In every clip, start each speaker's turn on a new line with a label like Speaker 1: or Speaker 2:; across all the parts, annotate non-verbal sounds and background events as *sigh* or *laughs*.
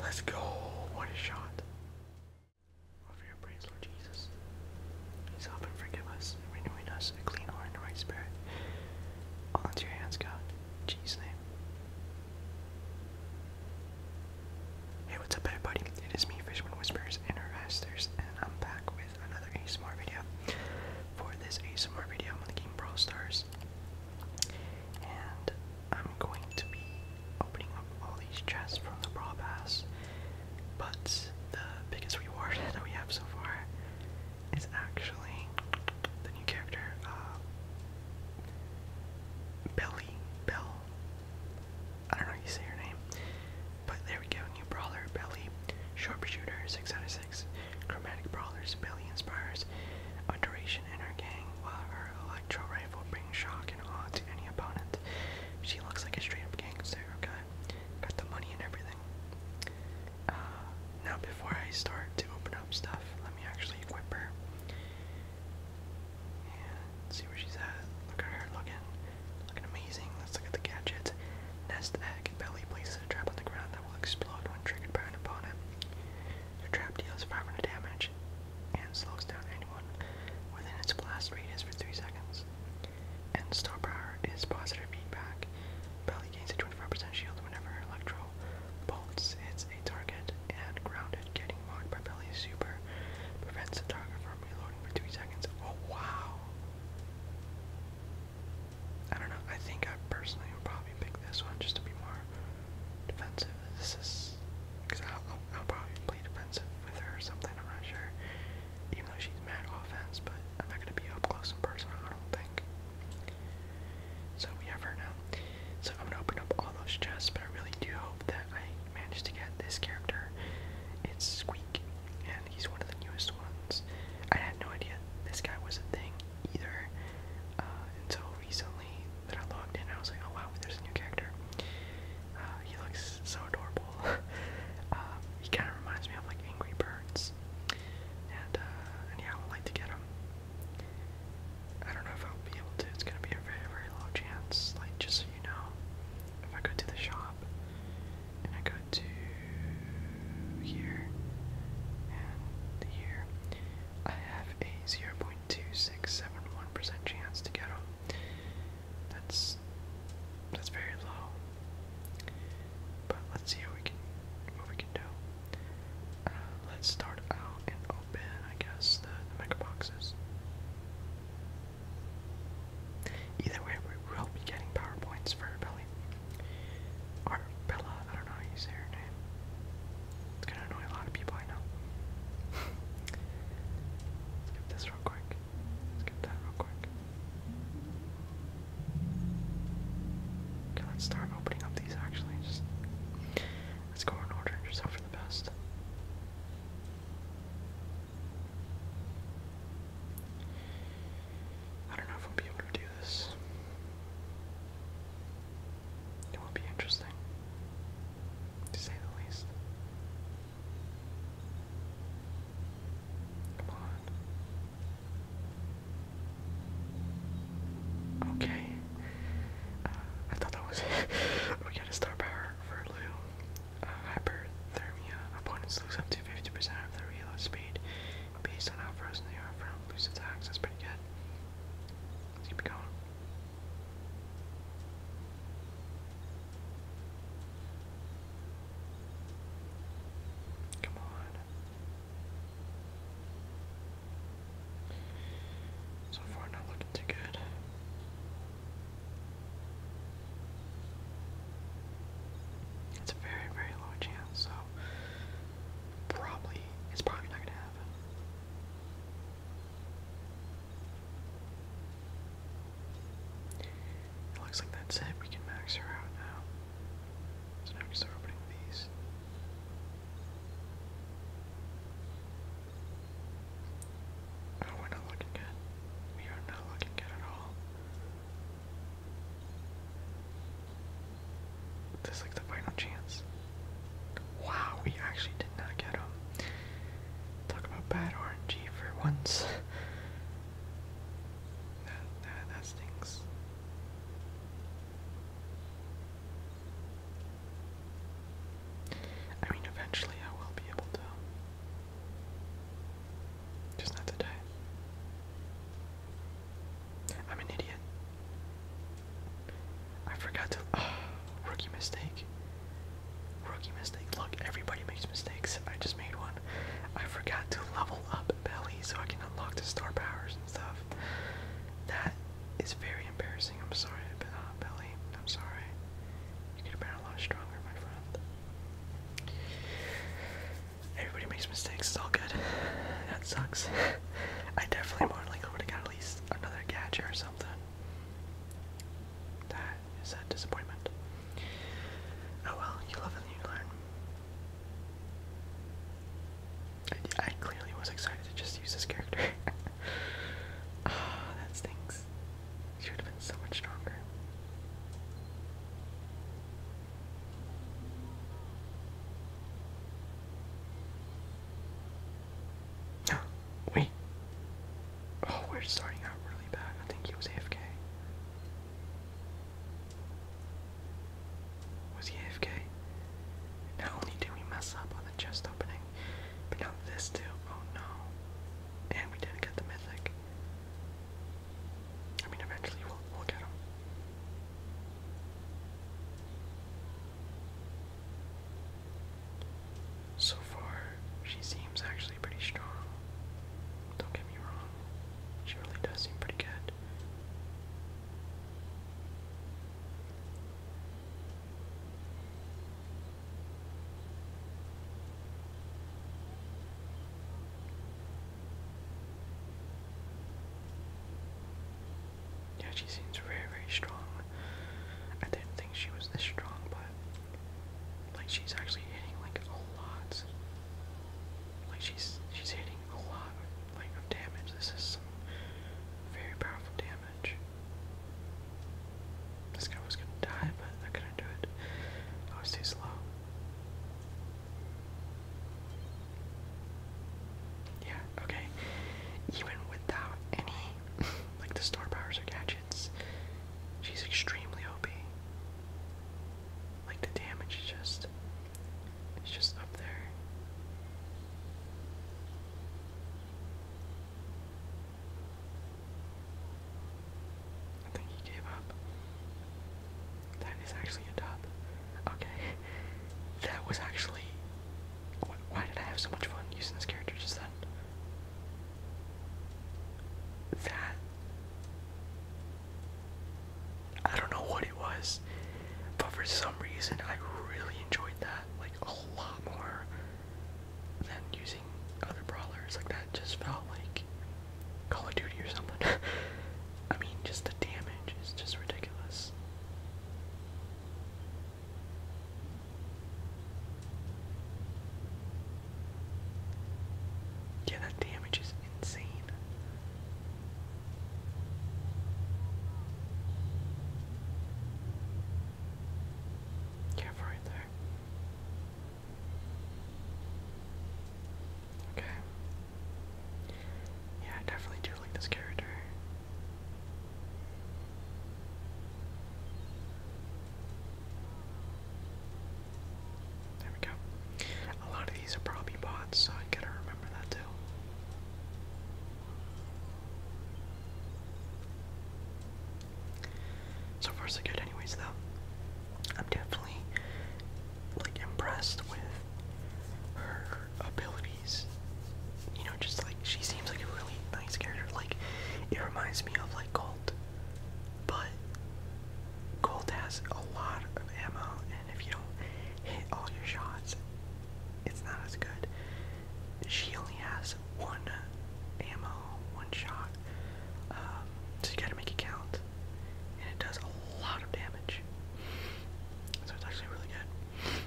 Speaker 1: Let's go. What a shot. Over your praise, Lord Jesus. Please help and forgive us, renewing us a clean heart and a right spirit. All into your hands, God. In Jesus' name. Hey, what's up, everybody? It is me, Fishman Whispers and Harassers, and I'm back with another ASMR video. For this ASMR video, I'm on the game Brawl Stars, and I'm going to be opening up all these chests from the Brawl Pass, but the biggest reward *laughs* that we have so far is actually the new character, uh, Belly, Bell. I don't know how you say her name, but there we go. New brawler, Belly, sharpshooter, six out of six, chromatic brawlers. Belly inspires adoration in her gang, while her electro rifle brings shock and awe to any opponent. She looks like a straight-up gangster. got the money and everything now, before I start to open up stuff, let me actually equip her and see where she's at. Look at her looking, looking amazing. Let's look at the gadgets. Nest egg belly places a trap on the ground that will explode when triggered by an opponent. Your trap deals 500 damage and slows down anyone within its blast radius for 3 seconds. And star power is positive feedback. Belly gains a 25% shield whenever Electro bolts hits a target, and grounded, getting mocked by Belly Super, prevents the target from reloading for 3 seconds. Oh wow! I don't know, I think I personally would probably pick this one just to be more defensive. This is. Because I'll, probably play defensive with her or something, I'm not sure. Even though she's mad offense, but I'm not going to be up close and personal, I don't think. So we have her now. So I'm gonna open up all those chests, but I really do hope that I manage to get this character. It's Squeak, and he's one of the newest ones. I had no idea this guy was a thing either uh, until recently that I logged in. I was like, oh wow, there's a new character. Uh, he looks so adorable. *laughs* Um, he kind of reminds me of like Angry Birds, uh, and yeah, I would like to get him. I don't know if I'll be able to. It's gonna be a very, very low chance. Like, just so you know, if I go to the shop and I go to here and here, I have a zero point two six seven one percent chance to get them. That's that's very low. But let's see what we can what we can do. Uh, let's start out and open, I guess, the, the mega boxes. Either way, we will be getting PowerPoints for Belly. Or Bella, I don't know how you say her name. It's gonna annoy a lot of people, I know. Skip *laughs* this real quick. Skip that real quick. Okay, let's start opening up these actually. Just let's go in order yourself for the best. I don't know if we'll be able to do this. It will be interesting, to say the least. Come on. Okay. Uh, I thought that was it. *laughs* we got a star power for Lou. Uh, hyperthermia. Opponents lose up to 50% of their reload speed based on how frozen they are from boost attacks. That's pretty Let's keep it going. Come on. So far, not looking too good. It's a very, very low chance, so probably, it's probably not gonna happen. It looks like that's it. We can max her out now. So now we start opening these. Oh, we're not looking good. We are not looking good at all. This is like the final chance. Wow, we actually did not get them. Talk about bad RNG for once. *laughs* that, that, that stings. I mean, eventually I will be able to. Just not today. I'm an idiot. I forgot to. *sighs* rookie mistake. Rookie mistake. Look, everybody makes mistakes. I just made one. I forgot to level up Belly so I can unlock the star powers and stuff. That is very embarrassing. I'm sorry, but, uh, Belly. I'm sorry. You could have been a lot stronger, my friend. Everybody makes mistakes. It's all good. That sucks. I definitely more likely would have got at least another gadget or something. That is a disappointment. Oh well, you learn. I, clearly was excited to just use this character. *laughs* Ah, that stinks. She have been so much stronger. *gasps* Wait. Oh, we're starting out really bad. I think he was AFK. Was AFK? Not only did we mess up on the chest opening, but now this too. Oh no. And we didn't get the mythic. I mean, eventually we'll, get him. So far, she seems actually pretty strong. Don't get me wrong, she really does seem pretty good. Yeah, she seems very, very strong. I didn't think she was this strong, but like she's actually hitting like a lot. Like she's she's hitting a lot of, like damage. This is some very powerful damage. This guy was gonna die, but I couldn't do it. Oh, I was too slow. Yeah, okay. Even without any *laughs* like the star powers or gadgets, she's extremely OP. Like the damage is just it's just up there. I think he gave up. That is actually a dub. Okay. *laughs* That was actually. why did I have so much fun using this character just then? That. I don't know what it was, but for some reason I really enjoyed that like a lot more than using other brawlers. Like that just felt like Call of Duty or something. *laughs* I mean, just the damage is just ridiculous. Yeah, that damage is insane. right there. Okay. Yeah, I definitely do like this character. There we go. A lot of these are probably bots, so I gotta remember that too. So far so good anyways though. I'm definitely like impressed with her abilities. You know, just like she seems like a really nice character. Like it reminds me of like Colt. But Colt has a lot of ammo, and if you don't hit all your shots, it's not as good. She only has one ammo, one shot, um, so you gotta make it count. And it does a lot of damage. So it's actually really good.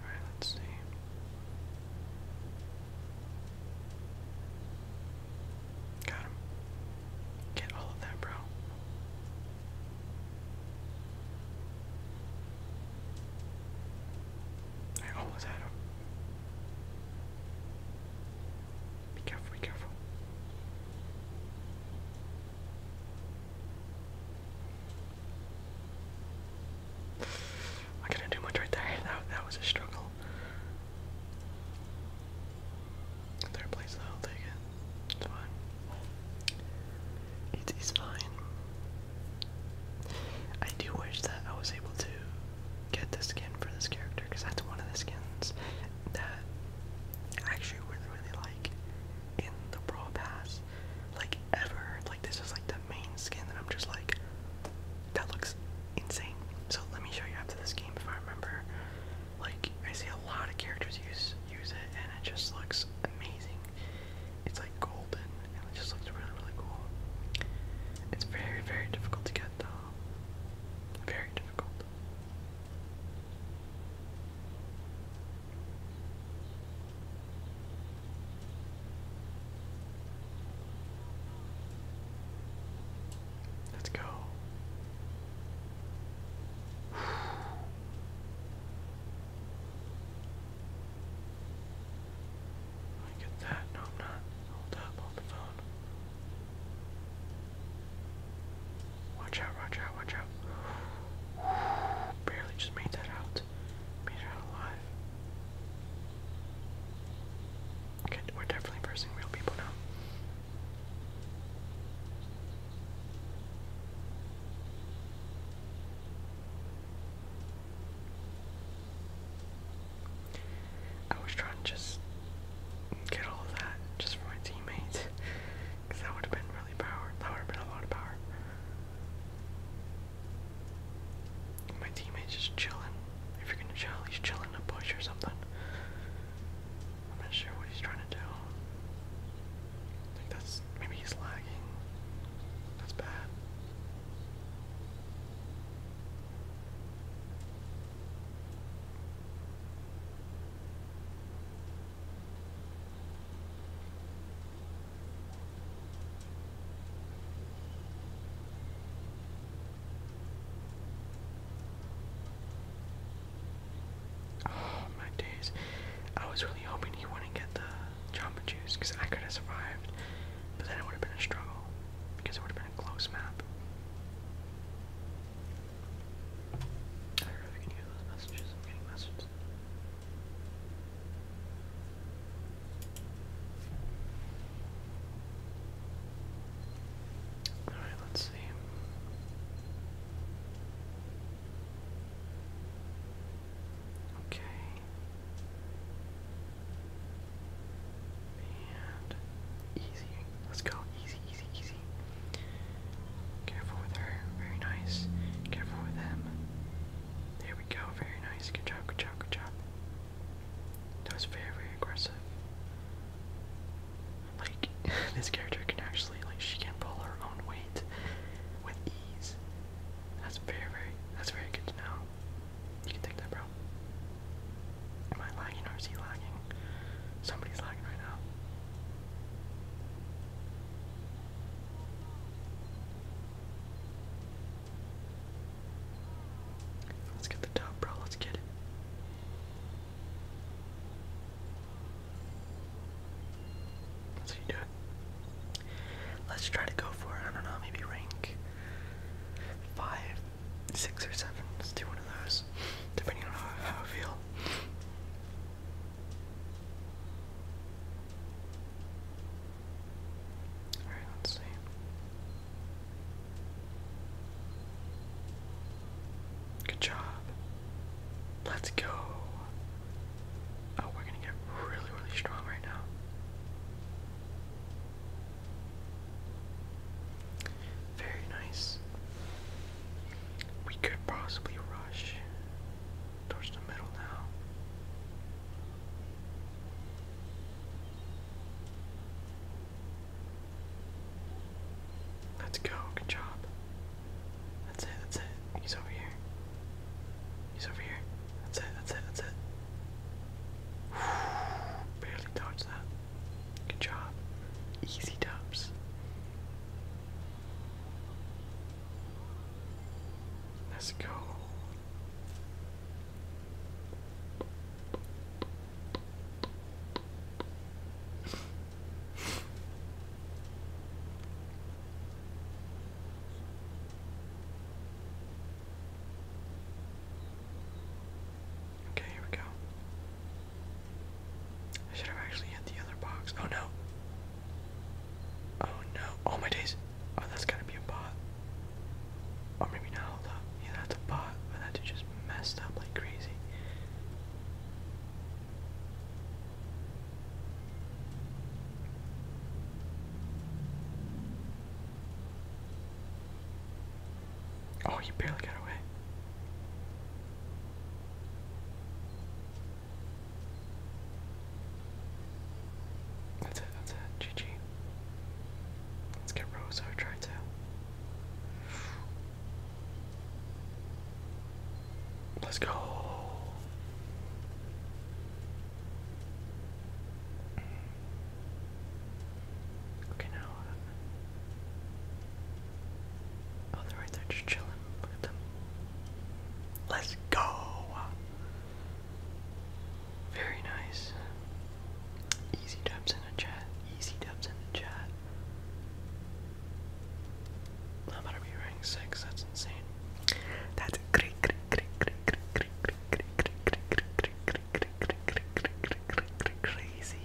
Speaker 1: Alright, let's see. Got him. Get all of that, bro. I almost had him. Be careful, be careful. I couldn't do much right there. *laughs* That, that was a struggle. Third place, I'll take it. It's fine. It is fine. I do wish that I was able to get the skin for this character, because that's one of the skins that I actually really, really like in the Brawl Pass like ever. Like this is like the main skin that I'm just like that looks insane. So let me show you after this game if I remember. Like I see a lot of characters use use it and it just looks amazing. It's like golden and it just looks really really cool. It's very very difficult to get though. Very difficult. Let's go. I get that. No, I'm not. Hold up. Hold the phone. Watch out, watch out, watch out. *sighs* barely just made that out. Made out alive. Okay, we're definitely versing real people now. I was trying to just get all that just for my teammates. Because that would have been really power. That would have been a lot of power. My teammate's just chilling. If you're gonna chill, he's chilling in a bush or something. I'm not sure what he's trying to do. I that's maybe he's lagging. That's bad. Oh my days. I was really hoping you wouldn't get the Jamba Juice because I could have survived, but then it would have been a struggle because it would have been a close map. I really can use those messages. I'm getting messages. All right, let's see. Okay. And easy. Let's go. Easy, easy, easy. Careful with her. Very nice. Careful with them. There we go. Very nice. Good job. Good job. Good job. That was very, very aggressive. Like, *laughs* this character can actually, like, she can pull her own weight with ease. That's very, very, that's very good to You can take that, bro. Am I lagging or is he lagging? Somebody's lagging right now. Let's get the top, bro. Let's get it. That's how you do Let's try to go for, I don't know, maybe rank 5, 6, or 7. Let's do one of those, depending on how I feel. Alright, let's see. Good job. Let's go. Oh, we're gonna get really, really strong right now. Very nice. We could possibly rush towards the middle now. Let's go, good job. That's it, that's it. He's over here. He's over here. That's it, that's it, that's it. *sighs* Barely dodged that. Good job. Easy dubs. Let's go. okay, here we go. I should have actually hit the other box. Oh no. Oh no. Oh my days. Oh, that's gotta be a bot. Or maybe not. Hold up. Yeah, that's a bot. But oh, that just messed up like crazy. Oh, you barely got away. That's it, that's it, GG. Let's get Rose try to. Let's go. Okay, now. Uh, Oh, they're right there, just chilling. Look at them. Let's go! Very nice. Easy dubs in the chat. Easy dubs in the chat. i about to be 6, that's insane. That's crazy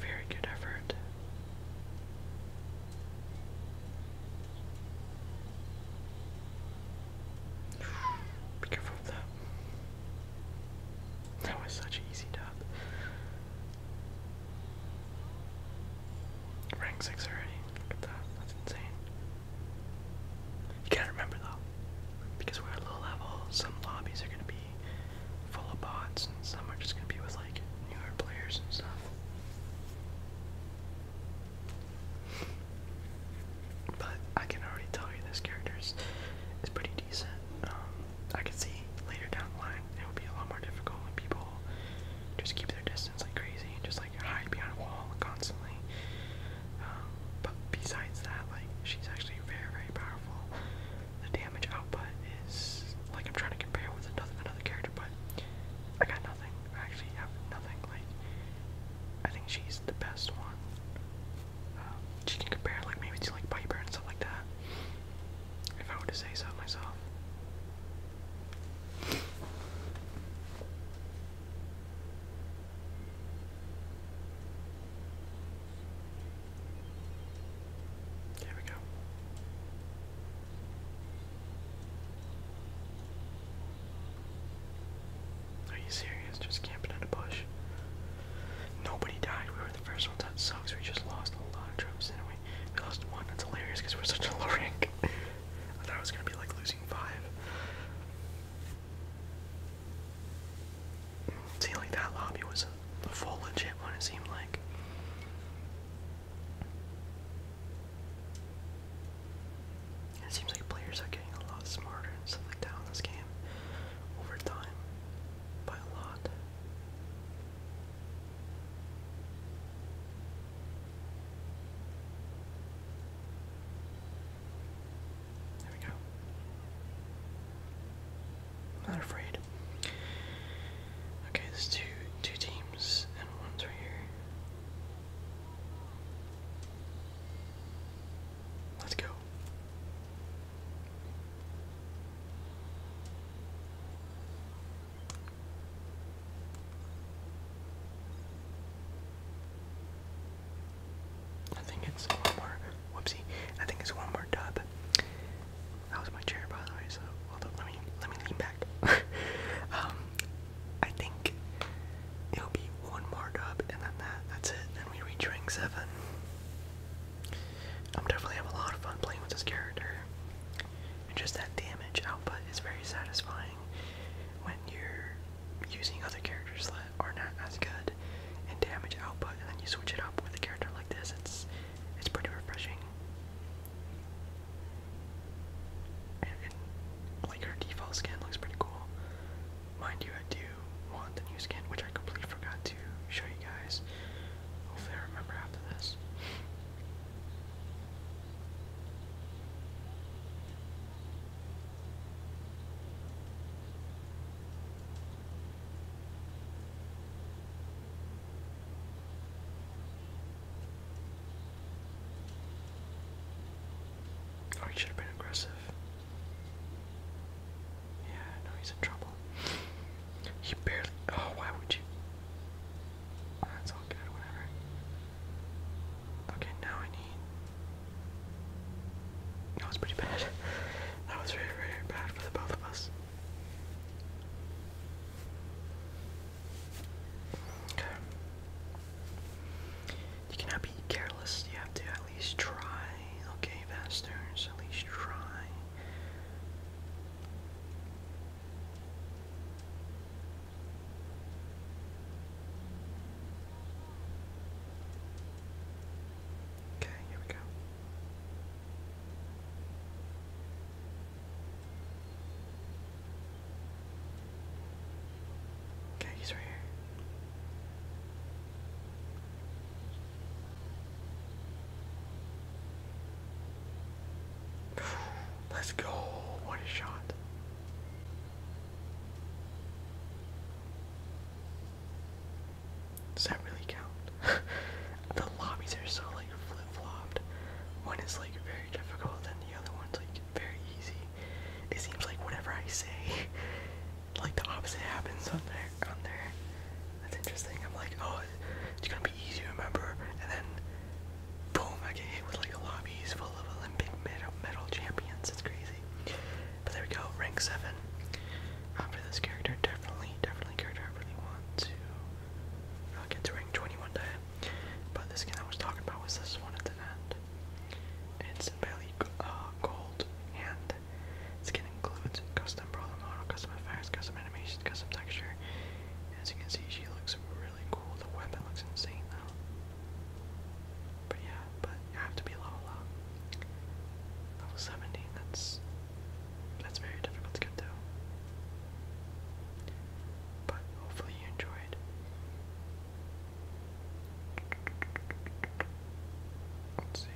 Speaker 1: Very good effort. Be careful of that. was such an easy dub. Rank 6 already. Look at that. That's insane. You gotta remember though, because we're at low level, some lobbies are gonna be full of bots, and some are just gonna be with like newer players and stuff. But I can already tell you this character is, is pretty decent. Um, I can see later down the line it will be a lot more difficult when people just keep their distance like crazy and just like hide behind a wall constantly. Um, but besides that, like she's actually very, very powerful the damage output is like I'm trying to compare with another another character, but I got nothing. I actually have nothing. Like I think she's the best one. Um, she can compare like maybe to like Piper and stuff like that. If I were to say so myself. There we go. Are you serious? Just camping in the bush. Nobody died. We were the first ones. That sucks. We just lost a lot of troops, Anyway, we? We lost one. That's hilarious because we're such a low rank. *laughs* I thought I was gonna be like losing five. See, like that lobby was a full legit one, it seemed like. It seems like players are getting a lot smarter and stuff like that in this game over time, by a lot. There we go. I'm not afraid. Okay, there's two two teams and one's right here. Let's go. I think it's more. Whoopsie. I think it's one more dub. That was my chair, by the way. So hold up. Let me let me lean back. *laughs* um, I think it'll be one more dub, and then that that's it. Then we reach rank seven. I'm definitely having a lot of fun playing with this character, and just that damage output is very satisfying when you're using other characters that are not as good in damage output, and then you switch it up with a character like this. It's it's pretty refreshing. like her default skin looks pretty cool. Mind you, I do want the new skin, which I completely forgot to show you guys. Hopefully, remember after this. Oh, he should have been aggressive. Yeah, no, he's in trouble. He barely. Oh, why would you? Oh, that's all good, whatever. Okay, now I need. That was pretty bad. *laughs* That was very, very bad for the both of us. You cannot be careless. You have to at least try. Okay, bastards, at least try. Okay, here we go. Okay, he's right here. *sighs* Let's go. What a shot. Does that really count? *laughs* the lobbies are so like flip flopped. One is like very difficult, and the other one's like very easy. It seems like whatever I say, *laughs* like the opposite happens on there. On there, that's interesting. I'm like, oh, it's gonna be easy to remember, and then boom, I get hit with like lobbies full of Olympic medal champions. It's crazy. But there we go, rank seven uh, for this character. Definitely, definitely character I really want to uh, get to rank twenty one day. But this skin I was talking about was this one at the end. It's barely uh, gold, and this skin includes custom brawler model, custom effects, custom animations, custom texture. As you can see, she looks really cool. The weapon looks insane though. But yeah, but you have to be level Level 17, that's that's very difficult to get to. But hopefully you enjoyed. Let's see.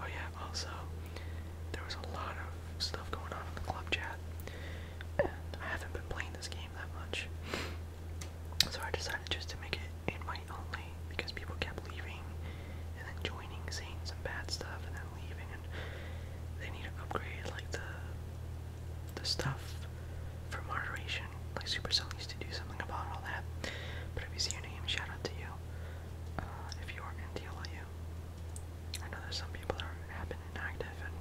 Speaker 1: Oh yeah, also, there was a lot of stuff going on in the club chat, I haven't been playing this game that much. So I decided just to make it invite only, because people kept leaving, and then joining, saying and bad stuff, and then leaving, and they need to upgrade, like, the the stuff for moderation. Like Supercell used to do something about all that. But if you see your name, shout out to you. Uh, if you are in DLIU. I know there's some people that are, have been inactive, and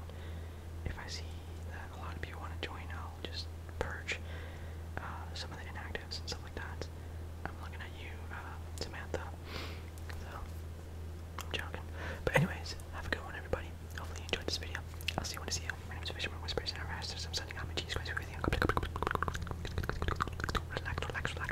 Speaker 1: if I see that a lot of people want to join, I'll just purge uh, some of the inactives and stuff like that. I'm looking at you, uh, Samantha. So, I'm joking. But anyways, have a good one, everybody. Hopefully you enjoyed this video. I'll see you when I see you. My name is Fisherman Whispers, and i rest. Rastus. I'm sending my cheese guys with Relax, relax, relax